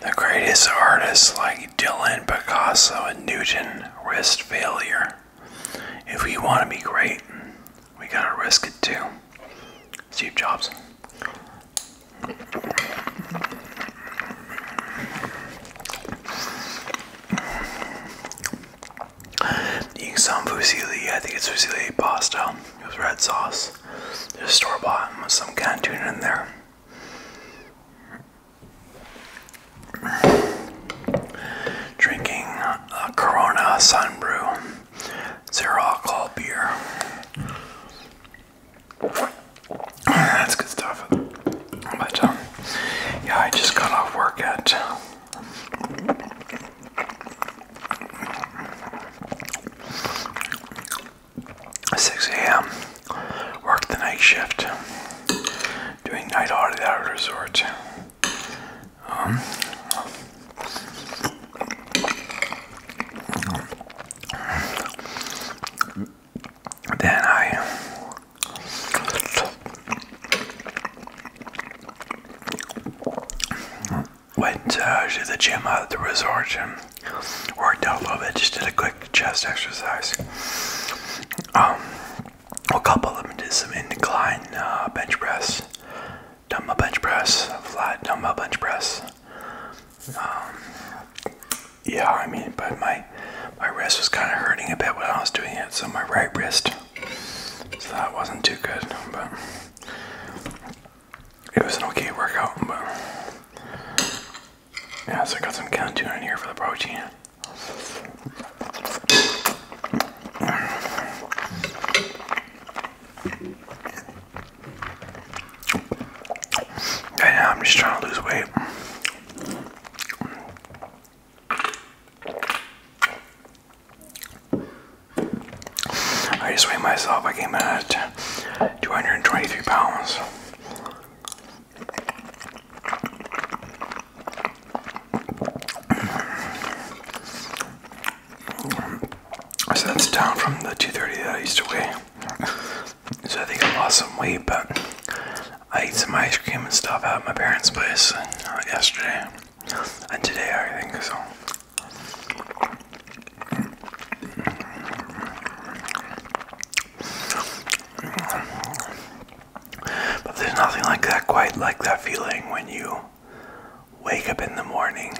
The greatest artists like Dylan, Picasso, and Newton risked failure. If we want to be great, we gotta risk it too. Steve Jobs. Eating some fusilli, I think it's fusilli pasta. with red sauce. There's store bought with some canned tuna in there. Drinking a Corona Sun Brew, zero alcohol beer. That's good stuff. But um, yeah, I just got off work at 6 a.m. Worked the night shift, doing night audit at a resort. Um, then I went uh, to the gym at the resort worked out a little bit. Just did a quick chest exercise. Um, a couple of them did some incline uh, bench press, dumbbell bench press, flat dumbbell bench press. Um, yeah, I mean, but my my wrist was kind of hurting a bit when I was doing it, so my right wrist. So that wasn't too good, but it was an okay workout. Yeah, so I got some canned tuna in here for the protein. now, I'm just trying to lose weight. I just weighed myself. I came in at 223 pounds. So that's down from the 230 that I used to weigh. So I think I lost some weight, but I ate some ice cream and stuff at my parents' place uh, yesterday and today, I think so. But there's nothing like that quite like that feeling when you wake up in the morning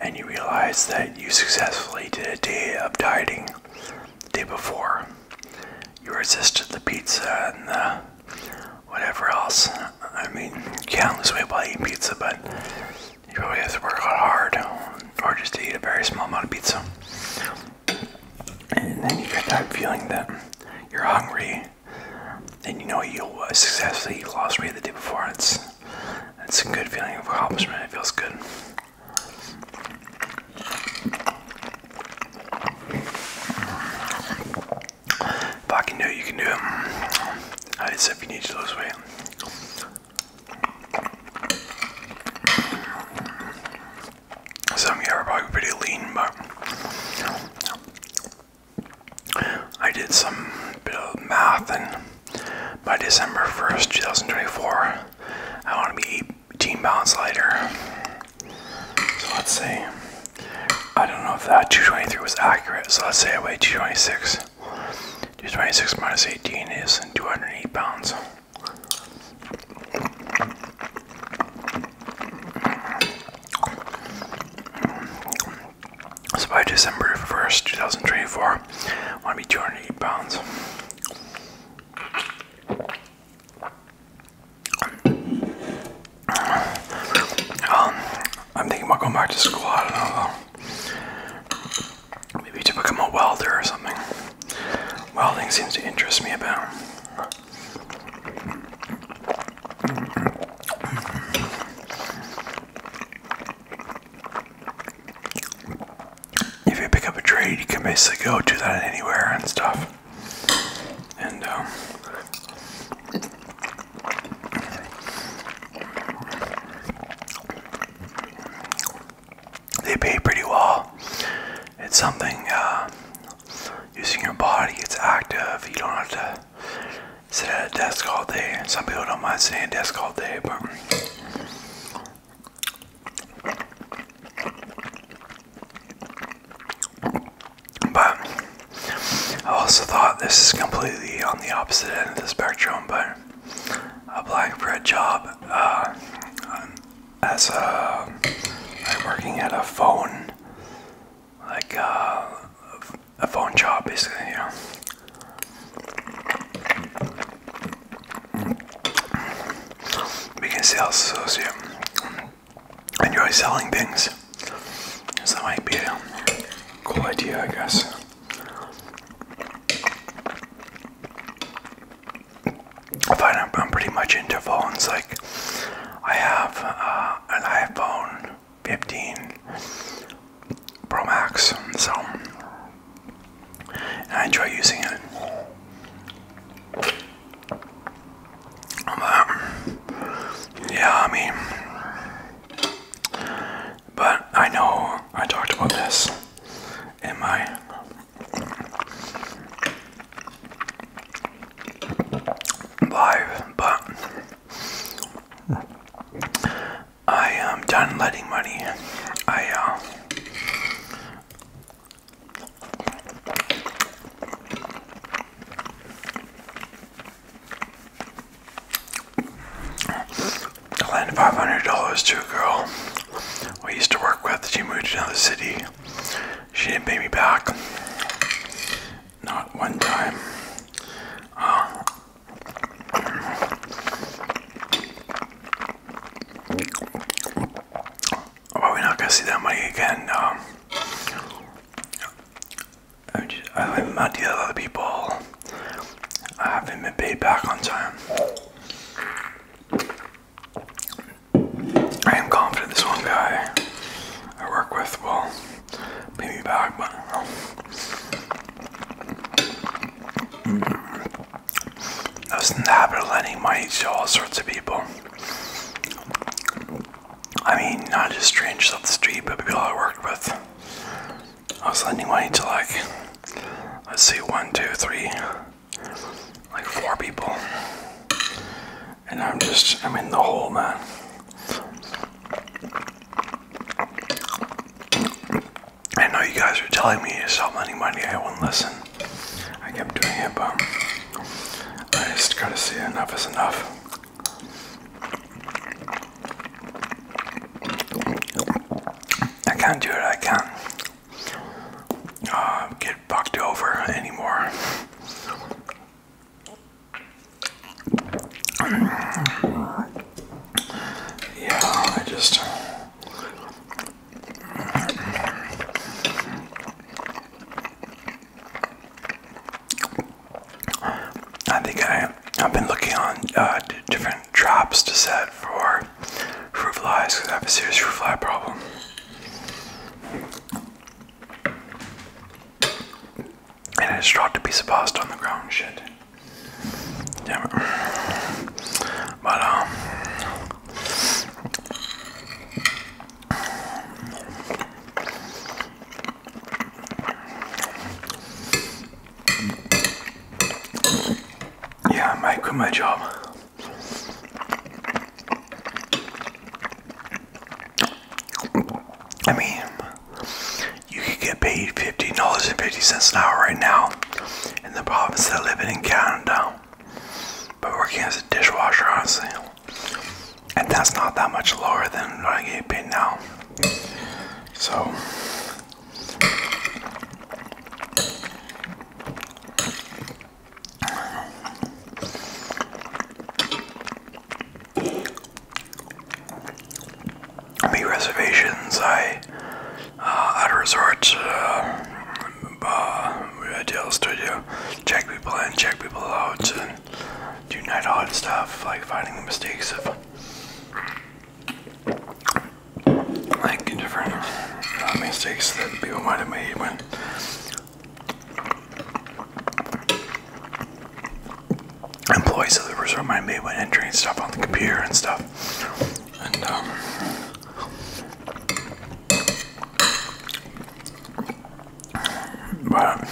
and you realize that you successfully did a day of dieting the day before. You resisted the pizza and the whatever else. I mean, you can't lose weight while eating pizza, but you probably have to work out hard or just to eat a very small amount of pizza. And then you get that feeling that you're hungry and you know you successfully you lost weight the day before. It's, it's a good feeling of accomplishment. It feels good. If I can do it, you can do it. I said if you need to lose weight. Some of you are probably pretty lean, but I did some bit of math, and by December 1st, 2024, I want to be 18 pounds lighter. So let's say, I don't know if that 223 was accurate, so let's say I weigh 226. 226 minus 18 is 208 pounds. So by December 1st, 2024, I want to be 208 pounds. Um, I'm thinking about going back to school. Maybe to become a welder or something. Welding seems to interest me about. If you pick up a trade, you can basically go do that anywhere and stuff. And, um, they pay pretty well. It's something uh, using your body, it's active, you don't have to sit at a desk all day. Some people don't mind sitting at a desk all day, But I also thought this is completely on the opposite end of the spectrum, but a for a job uh, as a I'm working at a phone like uh, a phone job basically You know, we can sales associate enjoy selling things so that might be a cool idea I guess I find I'm, pretty much into phones. Like, I have uh, an iPhone 15 Pro Max, so I enjoy using it. yeah, I mean, but I know I talked about this in my live, but I am done letting money. I uh, I lent $500 to a girl we used to work with. She moved to another city. She didn't pay me back. Not one time. Uh, probably not gonna see that money again. Um, I'm, just, I'm not dealing with other people. I haven't been paid back on time. I am confident this one guy I work with will pay me back, but I was in the lending money to all sorts of people. I mean, not just strangers off the street, but people I worked with. I was lending money to like, let's see, one, two, three, like four people. And I'm just, I'm in the hole, man. I know you guys are telling me it's so money, money, I won't listen. I kept doing it, but I just gotta see enough is enough. I can't do it. I can't uh, get bucked over anymore. Yeah, I just. I think I I've been looking on uh, different traps to set for fruit flies because I have a serious fruit fly problem. And I just dropped a piece of pasta on the ground. Shit. Damn it. But, um. Yeah, I might quit my job. I mean, you could get paid $15.50 an hour right now in the province I live in in Canada. But working as a dishwasher, honestly. And that's not that much lower than what I get paid now. So, I made reservations. I uh, at a resort. Uh, studio, check people in, check people out, and do night odd stuff like finding the mistakes of like different uh, mistakes that people might have made when employees of the resort might have made when entering stuff on the computer and stuff. Um, but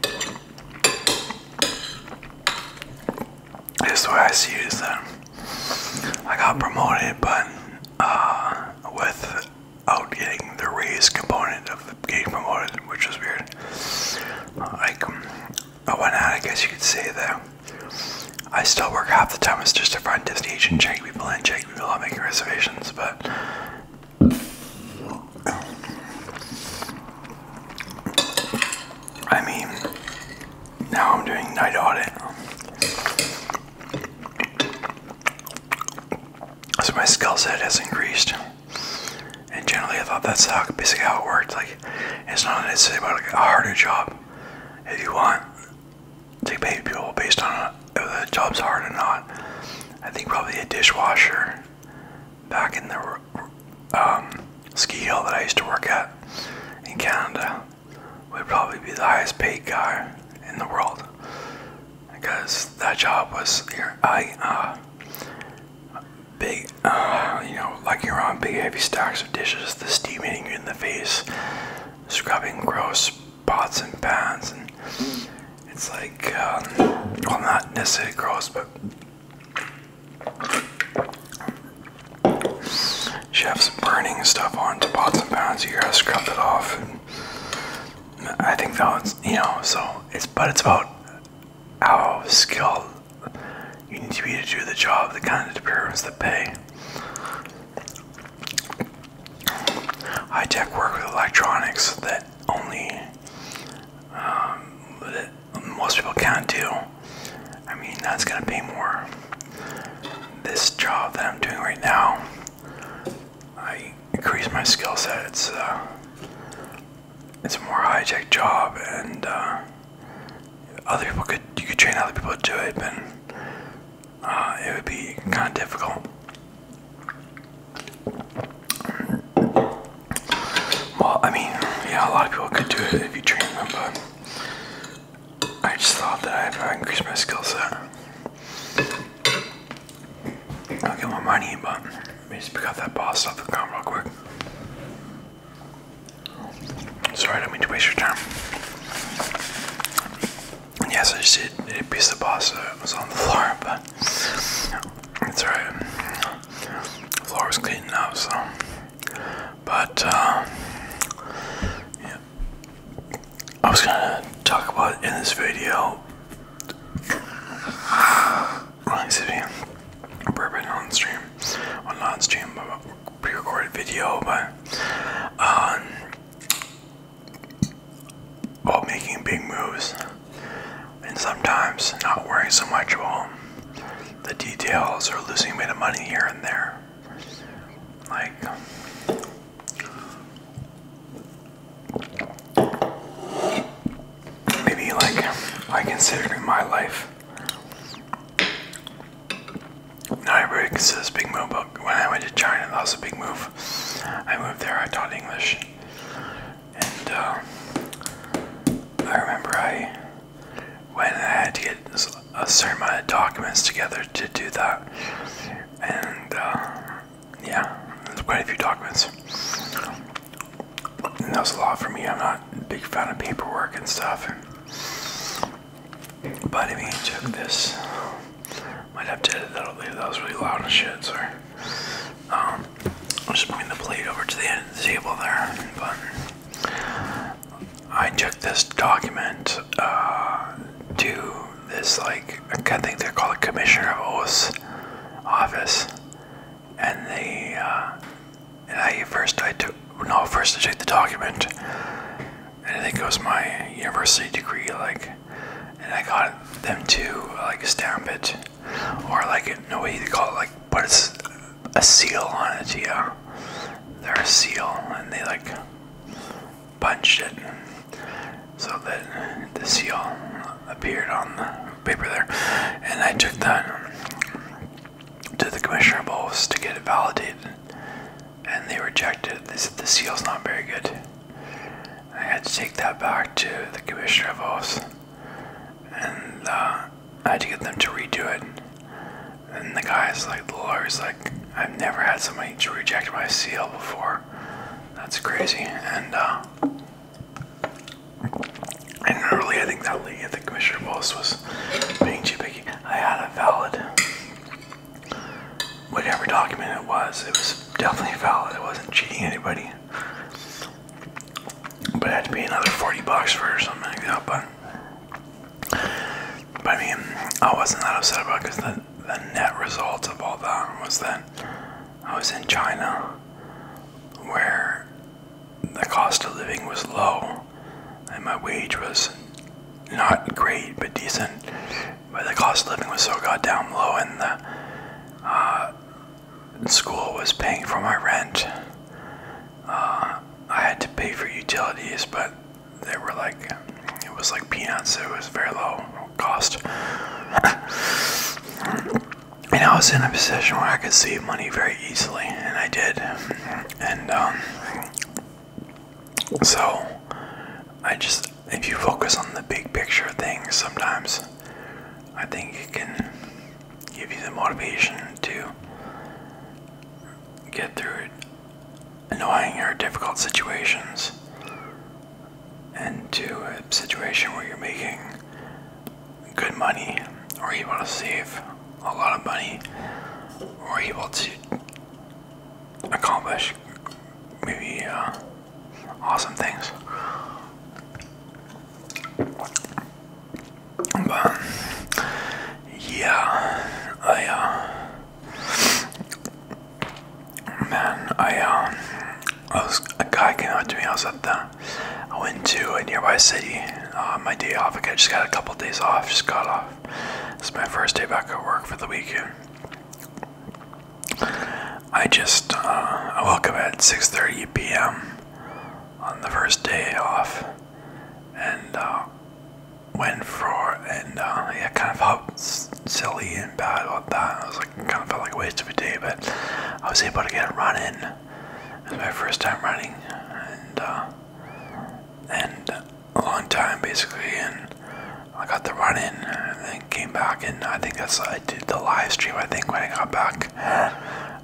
this is what I see is that I got promoted, but uh, without getting the raise component of getting promoted, which was weird. Like, I went out, I guess you could say that I still work half the time as just a front desk agent, checking people in, checking people out, making reservations, but I mean, now I'm doing night audit. So my skill set has increased. And generally, I thought that's how basically how it worked. Like, it's not necessarily about like, a harder job. If you want to pay people based on if uh, the job's hard or not, I think probably a dishwasher back in the um, ski hill that I used to work at in Canada would probably be the highest paid guy in the world because that job was here. I uh, big, uh, you know, like you're on big heavy stacks of dishes, the steam hitting you in the face, scrubbing gross pots and pans, and it's like, um, well, not necessarily gross, but Chef's burning stuff on to pots and pans. You gotta scrub that off. I think that's you know. So it's but it's about how skilled you need to be to do the job. The kind of determines that pay. High tech work with electronics that only um, most people can't do. I mean, that's gonna pay more. This job that I'm doing right now, I increase my skill sets. It's uh, it's a more high tech job, and uh, other people could you could train other people to do it, but uh, it would be kind of difficult. Well, I mean, yeah, a lot of people could do it if you train them, but I just thought that I uh, increased my skill set, I'll get my money, but let me just pick up that boss off the ground real quick. Sorry, I don't mean to waste your time. Yes, I just did, did a piece of pasta. It was on the floor, but it's alright floor is clean enough, so. But, uh, yeah. I was gonna talk about in this video. Bourbon on stream, well not stream, pre-recorded video, but um, about making big moves and sometimes not worrying so much about the details or losing a bit of money here and there. Like, maybe like I consider my life. Not everybody considers big move, when I went to China, that was a big move. I moved there, I taught English and um, I remember I when I had to get a certain amount of documents together to do that, and um, yeah, there's quite a few documents. that was a lot for me. I'm not a big fan of paperwork and stuff. But I mean, took this. Might have to edit that. That was really loud and shit. Sorry. Um, I'll just bring the plate over to the end of the table there. But I took this document uh, to this, like, I think they're called the Commissioner of Oaths office. And they, uh, and I first, I took, no, first I took the document. And I think it was my university degree, like, and I got them to, like, stamp it or like no way to call it like put a, a seal on it yeah there's a seal and they like punched it so that the seal appeared on the paper there and I took that to the commissioner of oaths to get it validated and they rejected it they said the seal's not very good I had to take that back to the commissioner of oaths and uh, I had to get them to redo it. And the guy's like, the lawyer's like, I've never had somebody reject my seal before. That's crazy. And uh, and really, I think that lady at the commissioner post was being too picky. I had a valid, whatever document it was. It was definitely valid. I wasn't cheating anybody. But it had to be another 40 bucks for something like that. But, I mean, I wasn't that upset about because the, the net result of all that was that I was in China where the cost of living was low and my wage was not great but decent. But the cost of living was so goddamn low and the uh, school was paying for my rent. Uh, I had to pay for utilities, but they were like, it was like peanuts. It was very low cost. and I was in a position where I could save money very easily, and I did. And um, so, I just, if you focus on the big picture things sometimes, I think you can give you the motivation to get through annoying or difficult situations into a situation where you're making good money or you want to save a lot of money or able to accomplish maybe uh, awesome things. But yeah, I uh, man, I um, I was a guy came up to me. I was at I went to a nearby city. Uh, my day off. I just got a couple of days off. Just got off. It's my first day back at work for the weekend. I just uh, woke up at 6:30 p.m. on the first day off, and uh, went for and uh, yeah, kind of felt silly and bad about that. I was like, kind of felt like a waste of a day, but I was able to get a run in. It was my first time running, and uh, and a long time basically, and I got the run in, and then came back, and I think that's I did the live stream. I think when I got back, back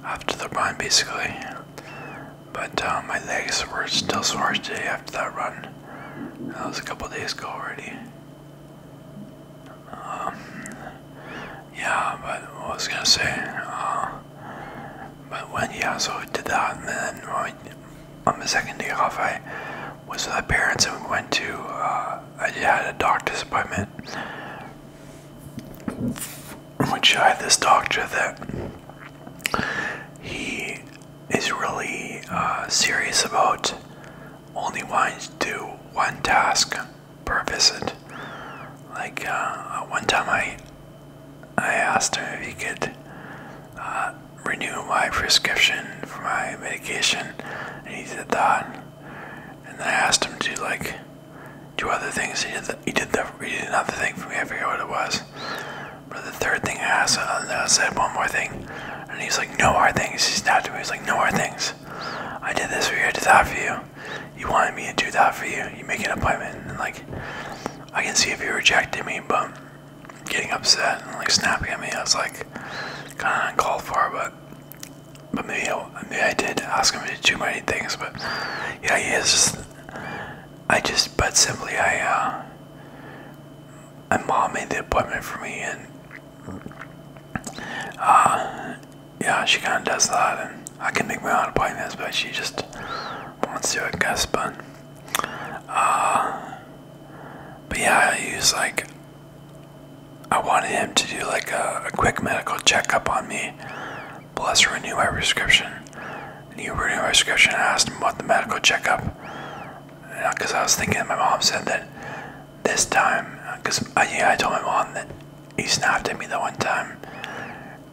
after the run, basically. But uh, my legs were still sore today after that run. That was a couple days ago already. Um, yeah, but I was gonna say. Uh, but when yeah, so I did that, and then on the second day off, I was with my parents and we went to. Uh, I had a doctor's appointment which I had this doctor that he is really uh, serious about only wanting to do one task per visit. Like uh, uh, one time, I I asked him if he could renew my prescription for my medication, and he said that. And I asked him to like two other things he did. The, he did the he did another thing for me. I forget what it was. But the third thing I asked, uh, I said one more thing, and he's like, "No more things." He snapped at me. He's like, "No more things." I did this for you. I did that for you. You wanted me to do that for you. You make an appointment, and like, I can see if you are rejecting me, but getting upset and like snapping at me, I was like, kind of uncalled for, but but maybe I, did ask him to do many things. But yeah, he is just. I just, but simply, I, uh, my mom made the appointment for me, and, uh, yeah, she kind of does that, and I can make my own appointments, but she just wants to, I guess, but, uh, but yeah, I use, like, I wanted him to do like a, quick medical checkup on me, plus renew my prescription. Renew he renewed my prescription. I asked him about the medical checkup because uh, I was thinking my mom said that this time, because uh, I, uh, yeah, I told my mom that he snapped at me that one time,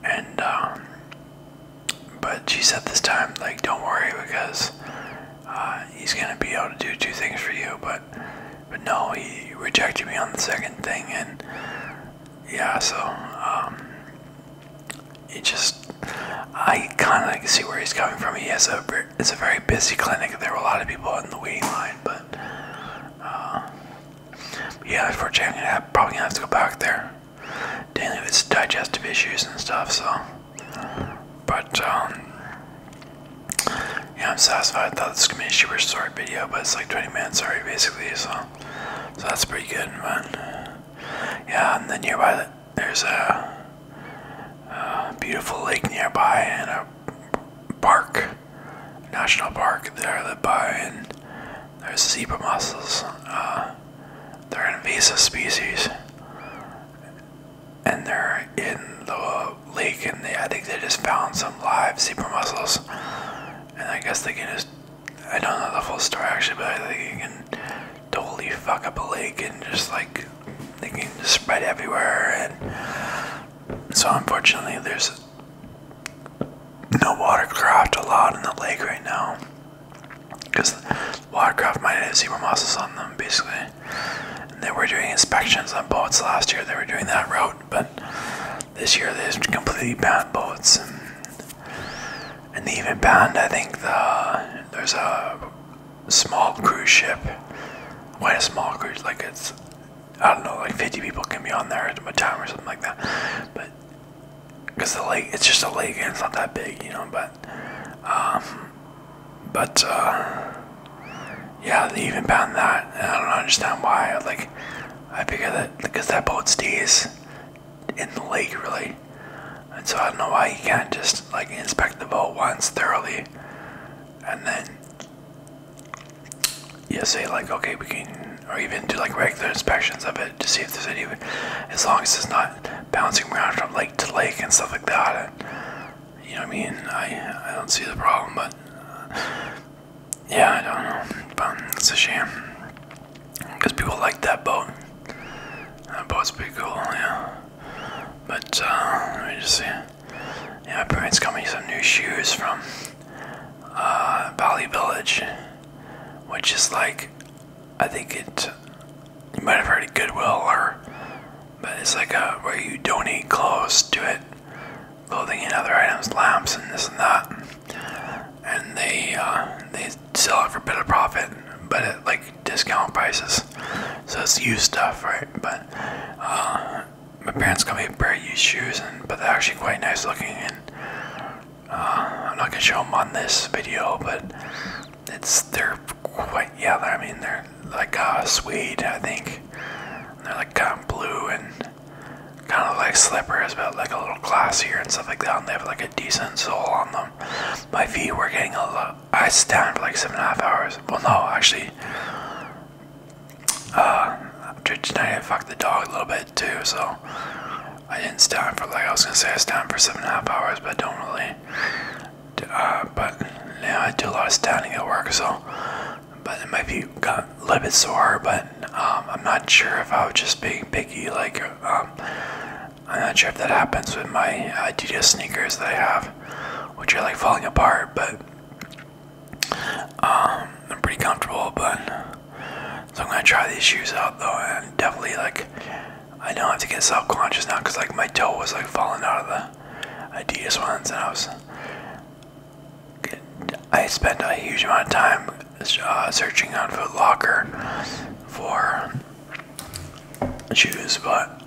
and um, but she said this time like don't worry because he's gonna be able to do two things for you, but but no, he rejected me on the second thing, and yeah, so he um, just I kind of see where he's coming from. He has a it's a very busy clinic. There were a lot of people in the waiting line, but uh, yeah, unfortunately, i probably gonna have to go back there dealing with digestive issues and stuff. So, but um, yeah, I'm satisfied. I thought this was gonna be a super short video, but it's like 20 minutes sorry, basically, so so that's pretty good. But yeah, and then nearby there's a, beautiful lake nearby and a park, national park there that by, and there's zebra mussels. Uh, they're invasive species, and they're in the lake, and they, I think they just found some live zebra mussels. And I guess they can just—I don't know the full story actually, but I think you can totally fuck up a lake and just like they can spread everywhere. And so, unfortunately, there's no watercraft allowed in the lake right now because watercraft might have zebra mussels on them, basically. they were doing inspections on boats last year. They were doing that route but this year they just completely banned boats, and, they even banned I think the there's a small cruise ship, quite a small cruise, like it's I don't know like 50 people can be on there at a time or something like that, but because the lake it's just a lake and it's not that big, you know. But um, but uh, yeah, they even banned that, and I don't understand why. Like, I figure that because that boat stays in the lake, really, and so I don't know why you can't just like inspect the boat once thoroughly, and then yeah, say like, okay, we can, or even do like regular inspections of it to see if there's any, as long as it's not bouncing around from lake to lake and stuff like that. you know what I mean? I I don't see the problem, but. Yeah, I don't know, but it's a shame because people like that boat. That boat's pretty cool, yeah. But uh, let me just see. Yeah, my parents got me some new shoes from uh, Valley Village, which is like, I think it. You might have heard of Goodwill, or but it's like a where you donate clothes to it, clothing and other items, lamps and this and that. And they uh, they sell it for better profit, but at like discount prices. So it's used stuff, right? But uh, my parents got me a pair of used shoes, and but they're actually quite nice looking. And uh, I'm not gonna show them on this video, but it's they're quite yeah. I mean they're like uh, suede, I think. they're like kind of blue and kind of like slippers, but like a little glassier and stuff like that. And they have like a decent sole on them. My feet were getting a lot. I stand for like seven and a half hours. Well, no, actually. Uh, after tonight, I fucked the dog a little bit too, so I didn't stand for like I was gonna say I stand for seven and a half hours, but don't really. Uh, but yeah, I do a lot of standing at work, so but it might be got a little bit sore. But um, I'm not sure if I was just being picky. Like um, I'm not sure if that happens with my uh, Adidas sneakers that I have, which are like falling apart. But um, I'm pretty comfortable. But so I'm gonna try these shoes out though, and definitely like. I know I have to get self-conscious now because like my toe was like falling out of the Adidas ones, and I was I spent a huge amount of time uh, searching on Foot Locker for shoes, but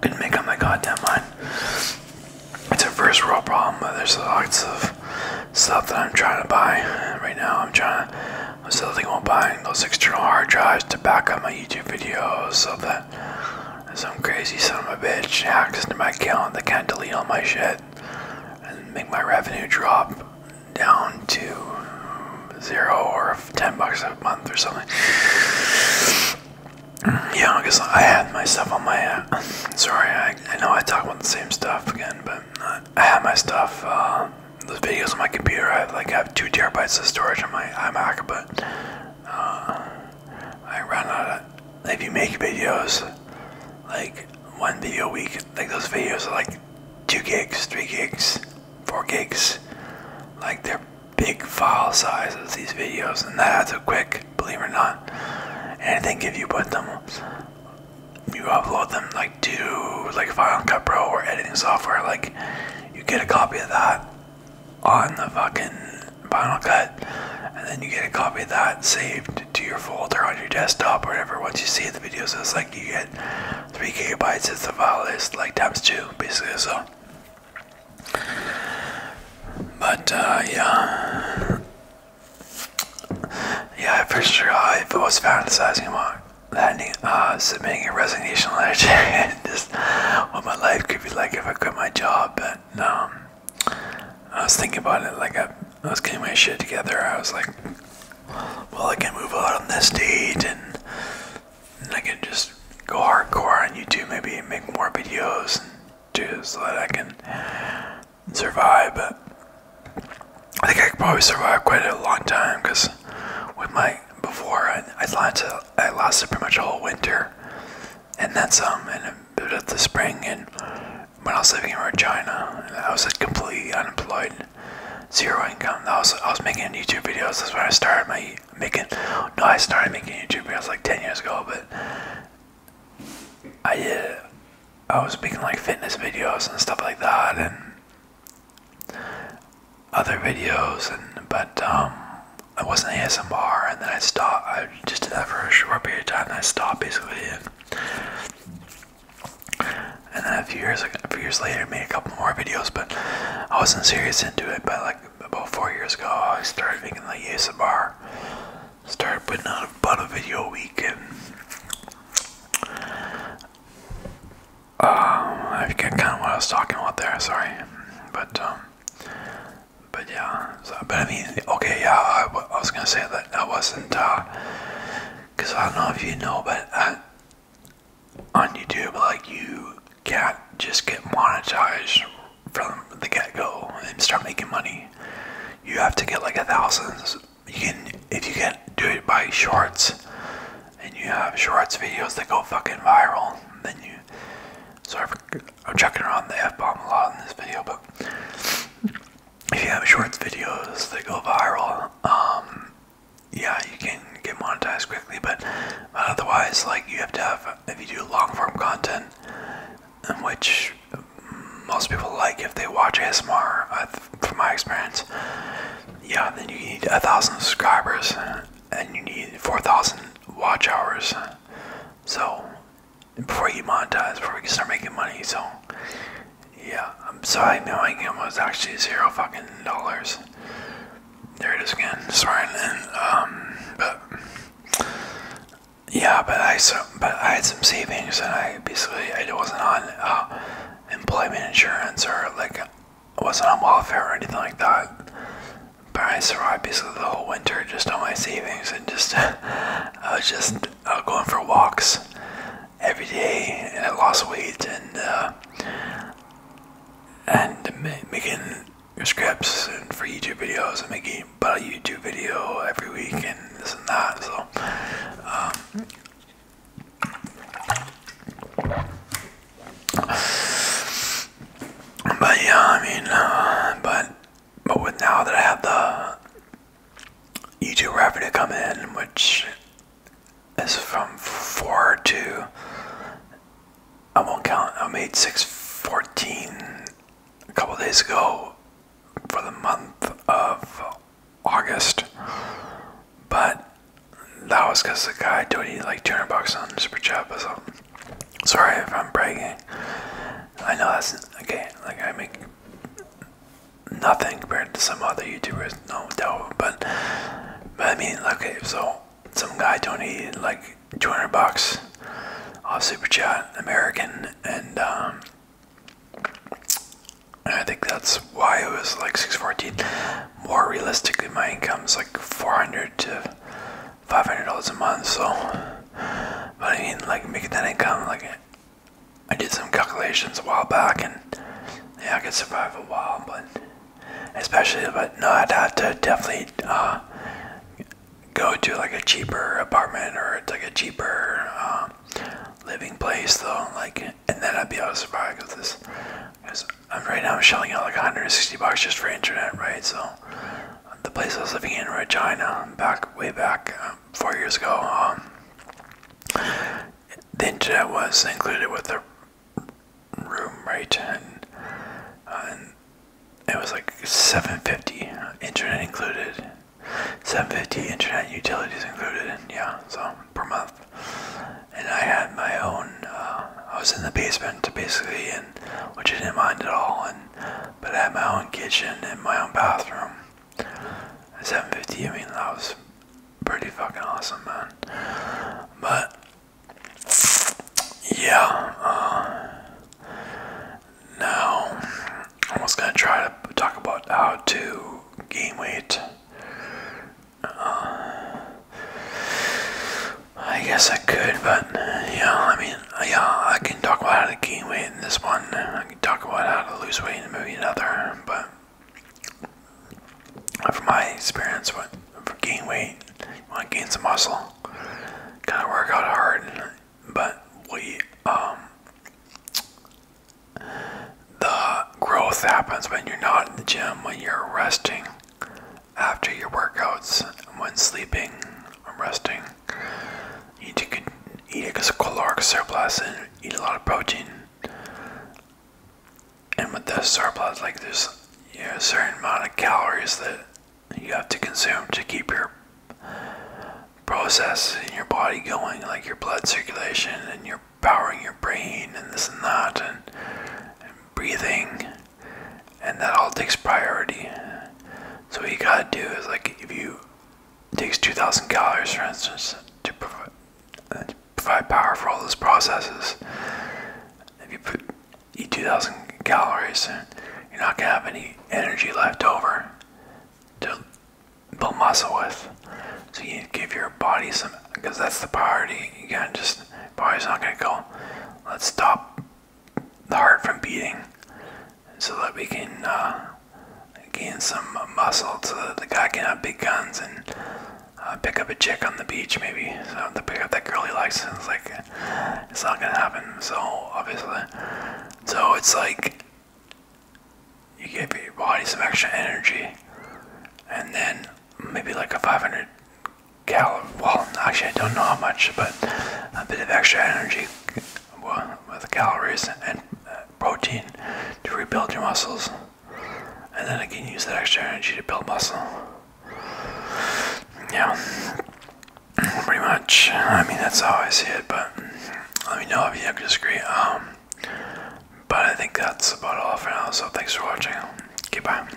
couldn't make up my goddamn mind. It's a first world problem, but there's lots of stuff that I'm trying to buy. Right now, I'm trying to, I'm still thinking about buying those external hard drives to back up my YouTube videos so that some crazy son of a bitch hacks into my account They can't delete all my shit and make my revenue drop down to zero or 10 bucks a month or something. Mm, yeah, because I had my stuff on my. sorry, I, know I talk about the same stuff again, but I, have my stuff, uh, the videos on my computer. I like have two terabytes of storage on my iMac, but uh, I run out if you make videos, like one video a week, like those videos are like two gigs, three gigs, four gigs, like they're big file sizes, these videos, and that's a quick, believe it or not. And I think if you put them, you upload them like to like Final Cut Pro or editing software, like you get a copy of that on the fucking Final Cut, and then you get a copy of that saved to your folder on your desktop or whatever. Once you save the videos, it's like you get three gigabytes It's the file is like times two, basically. So, but uh, yeah, yeah, for sure. I was fantasizing about landing, uh, submitting a resignation letter, just what my life like if I quit my job, but um, I was thinking about it like I, was getting my shit together. I was like, well, I can move out on this date and, I can just go hardcore on YouTube, maybe make more videos do so that I can survive. But I think I could probably survive quite a long time because with my before, I lost I lost pretty much a whole winter, and then some, and a bit the spring. And when I was living in Regina, I was completely unemployed, zero income. I was I was making YouTube videos. That's when I started my making. No, I started making YouTube videos like ten years ago, but I did. Uh, I was making like fitness videos and stuff like that, and other videos, and but um, I wasn't ASMR, and then I stopped. I just did that for a short period of time, and I stopped basically. And, then a few years a few years later, I made a couple more videos, but I wasn't serious into it. But like about four years ago, I started making like ASMR. Started putting out about a video a week, and um, I forget kind of what I was talking about there. Sorry, but um, but yeah, but I mean, okay, yeah, I, was gonna say that I wasn't, uh, cause I don't know if you know, but I, on YouTube, like, you can't just get monetized from the get-go and start making money. You have to get like a thousand. You can, if you can do it by shorts, and you have shorts videos that go fucking viral, then you, so I'm chucking around the F bomb a lot in this video, but if you have shorts videos that go viral, um, yeah, you can get monetized quickly, but otherwise, like, you have to have, if you do long form content, which most people like if they watch ASMR, from my experience, yeah, then you need a thousand subscribers and you need 4,000 watch hours. So, before you monetize, before you start making money. So, yeah. So I know my income was actually zero fucking dollars. There it is again. Sorry. Um, but yeah, but I so, but I had some savings, and I basically it wasn't on uh, employment insurance or like I wasn't on welfare or anything like that. But I survived basically the whole winter just on my savings and just I was just going for walks every day and I lost weight and uh, and making scripts and for YouTube videos and making about a YouTube video every week and this and that so um, but yeah, I mean, uh, but but with now that I have the YouTube revenue come in, which is from four to I won't count. I made six fourteen a couple days ago for the month of August, but that was because the guy donated like two hundred bucks on Super Chat, so Sorry if I'm bragging. I know that's okay. Like I make nothing compared to some other YouTubers, no doubt. But but I mean, okay. So some guy donated like 200 bucks off Super Chat American, and um, I think that's why I was like 614. More realistically, my income is like 400 to five hundred dollars a month. So, but I mean, like making that income, like I did some calculations a while back, and yeah, I could survive a while. But especially, but no, I'd have to definitely uh, go to like a cheaper apartment or like a cheaper uh, living place, though. Like, and then I'd be able to survive because this, right now I'm shelling out like 160 bucks just for internet, right? So the place I was living in, Regina, back way back um, four years ago, um, the internet was included with the room, right? And, uh, it was like 750 internet included. 750 internet utilities included and yeah so per month and i had my own uh, i was in the basement basically and which I didn't mind at all. And but I had my own kitchen and my own bathroom. At 750, I mean that was pretty fucking awesome, man. But yeah, uh, I'm gonna try to talk about how to gain weight. Uh, I guess I could, but yeah, I mean, yeah, I can talk about how to gain weight in this one. I can talk about how to lose weight in maybe another, but from my experience, what for gain weight, you want to gain some muscle, gotta work out hard. But we, um, the growth happens when you're not in the gym, when you're resting. After your workouts, when sleeping or resting, you need to eat a caloric surplus and eat a lot of protein. And with the surplus, like there's a certain amount of calories that you have to consume to keep your process in your body going, like your blood circulation and your powering your brain and this and that and breathing and that all takes priority. So what you gotta do is like if you takes two thousand calories, for instance, uh, to provide, power for all those processes. If you put eat two thousand calories, you're not gonna have any energy left over to build muscle with. So you give your body some, because that's the priority. You gotta just body's not gonna go let's stop the heart from beating so that we can uh, gain some muscle so that the guy can have big guns and uh, pick up a chick on the beach maybe so to pick up that girl he likes it's like it's not gonna happen so obviously so it's like you give your body some extra energy and then maybe like a 500 cal. Well, actually, I don't know how much, but a bit of extra energy with calories and uh, protein to rebuild your muscles, and then again use that extra energy to build muscle. Yeah, pretty much. I mean, that's how I see it. But let me know if you disagree. Um, but I think that's about all for now. So thanks for watching. Goodbye.